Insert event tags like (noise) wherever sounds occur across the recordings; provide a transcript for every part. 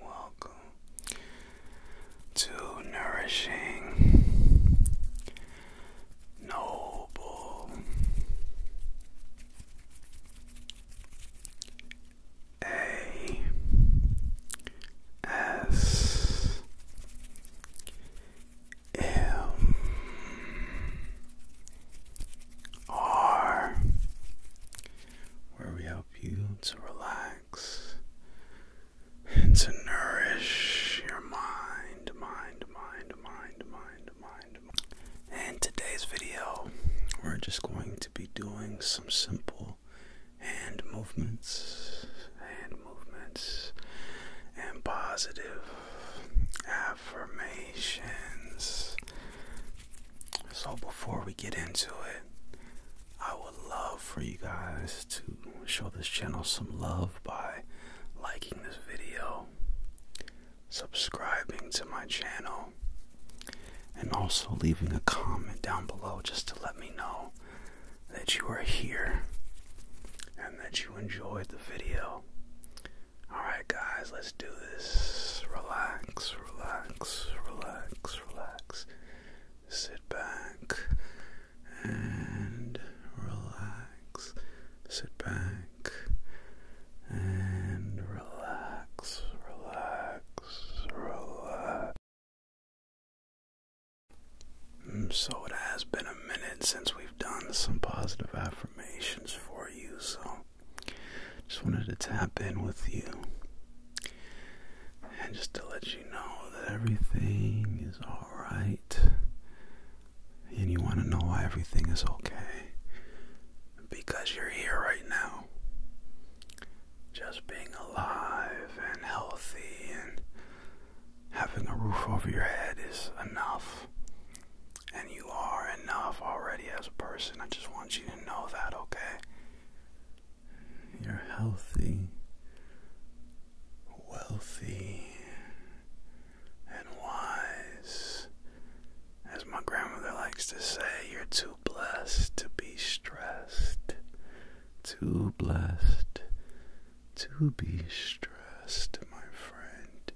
welcome, to nourishing, noble, A S M R, where we help you to relax and to nourish your mind, mind, mind, mind, mind, mind. And today's video, we're just going to be doing some simple hand movements, hand movements, and positive affirmations. So before we get into it, I love for you guys to show this channel some love by liking this video, subscribing to my channel, and also leaving a comment down below just to let me know that you are here and that you enjoyed the video. Alright, guys, let's do this. Relax, relax, relax, relax sit back and relax. Sit back and relax, relax, relax. Mm, so, it has been a minute since we've done some positive affirmations for you, so just wanted to tap in with you and just to let you know that everything is alright. And you want to know why everything is okay. Because you're here right now. Just being alive and healthy and having a roof over your head is enough. And you are enough already as a person. I just want you to know that, okay? you're healthy, wealthy, and wise. As my grandmother likes to say, you're too blessed to be stressed. Too blessed to be stressed, my friend.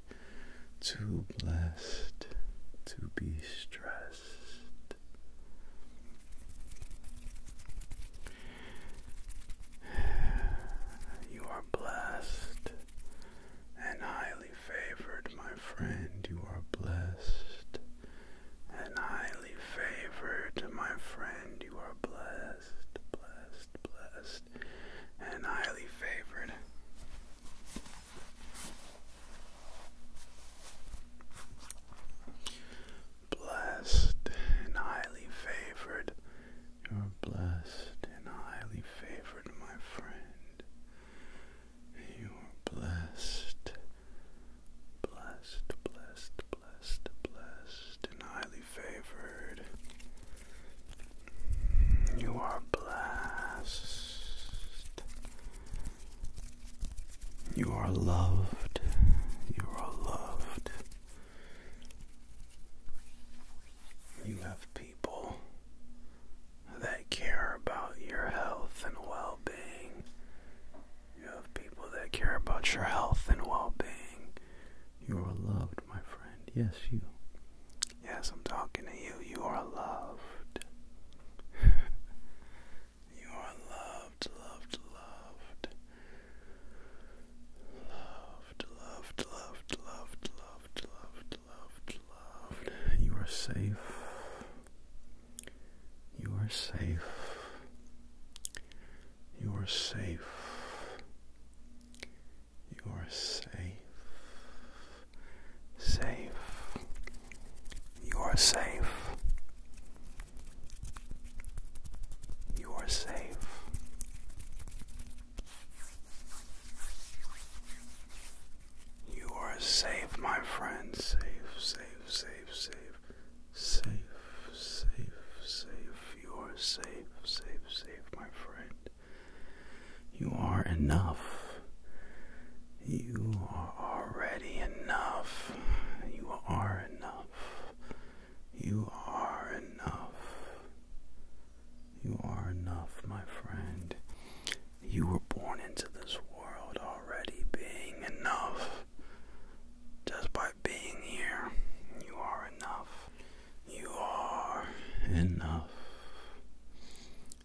Too blessed to be stressed. (sighs) You are blessed and highly favored, my friend. You are blessed and highly favored, my friend. You are blessed, blessed, blessed, and highly favored. Blessed and highly favored, you're blessed and highly favored, my friend. You are blessed, blessed, blessed, blessed, blessed, and highly favored. You are blessed. You are loved. You are loved. You have people that care about your health and well being. You have people that care about your health and well being. You are loved, my friend. Yes, you. Yes, I'm talking to you. You are loved. (laughs) You are loved, loved, loved. Loved, loved, loved, loved, loved, loved, You are safe. You are safe. You are safe. You are safe. Safe. You are safe. You are safe. You are safe, my friend. Safe, safe, safe, safe. Safe, safe, safe. You are safe, safe, safe, my friend. You are enough. You are already enough. You are enough. You are enough. You are enough, my friend. You were born into this world already being enough. Just by being here, you are enough. You are enough.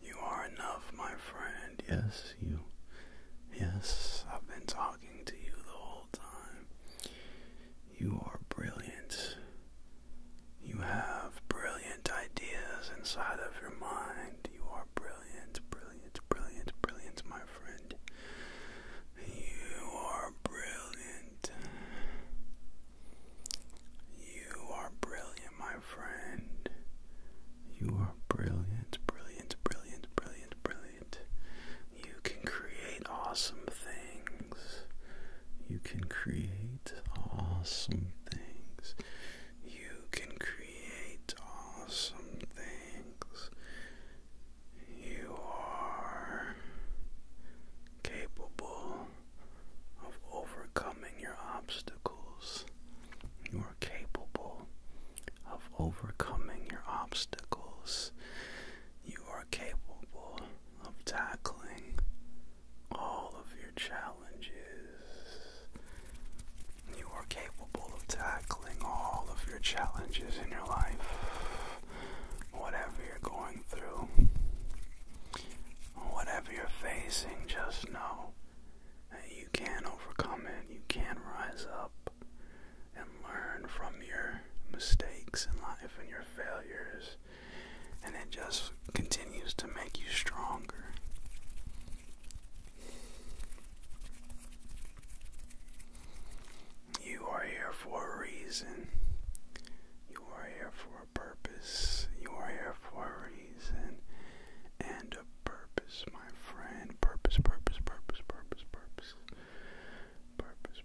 You are enough, my friend. Yes, you. Yes, I've been talking to you the whole time. You are brilliant. You have brilliant ideas inside of your mind. You are brilliant, brilliant, brilliant, brilliant, my friend. You are brilliant. You are brilliant my friend. You are brilliant, brilliant, brilliant, brilliant, brilliant. You can create awesome things. You can create awesome things. You can create awesome things. You are capable of overcoming your obstacles. You are capable of overcoming your obstacles. You are capable of tackling all of your challenges. You are capable of tackling all of your challenges in your life. Whatever you're going through, whatever you're facing, just know you can overcome it, you can rise up and learn from your mistakes in life and your failures, and it just continues to make you stronger. You are here for a reason. You are here for a purpose. You are here for a reason. And purpose, my friend. purpose, purpose, purpose, purpose. Purpose,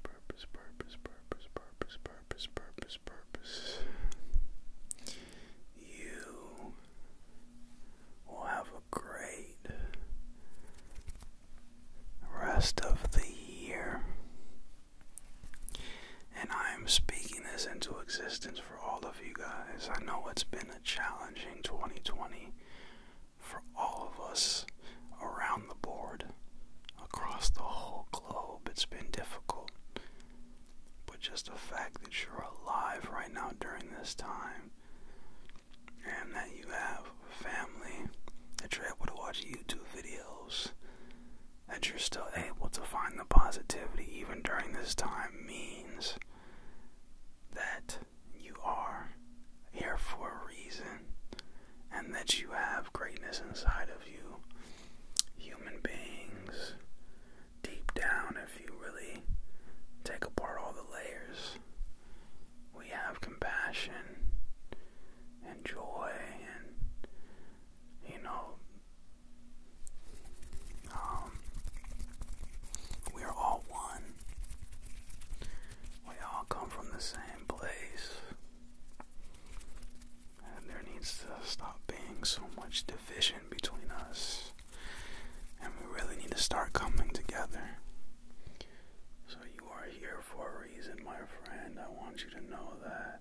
purpose, purpose, purpose, purpose, purpose, purpose, purpose. You will have a great rest of the year. And I am speaking this into existence for all of you guys. I know it's been a challenging 2020 for all of us around the board, across the whole globe. It's been difficult. But just the fact that you're alive right now during this time and that you have family, that you're able to watch YouTube videos, that you're still able to find the positivity even during this time means that you are here for a reason and that you have greatness inside of you. Human beings, deep down, if you really take apart all the layers, we have compassion and joy and, you know, um, we are all one. We all come from the same place. And there needs to stop being so much division between us. And we really need to start coming together. So, you are here for a reason, my friend. I want you to know that.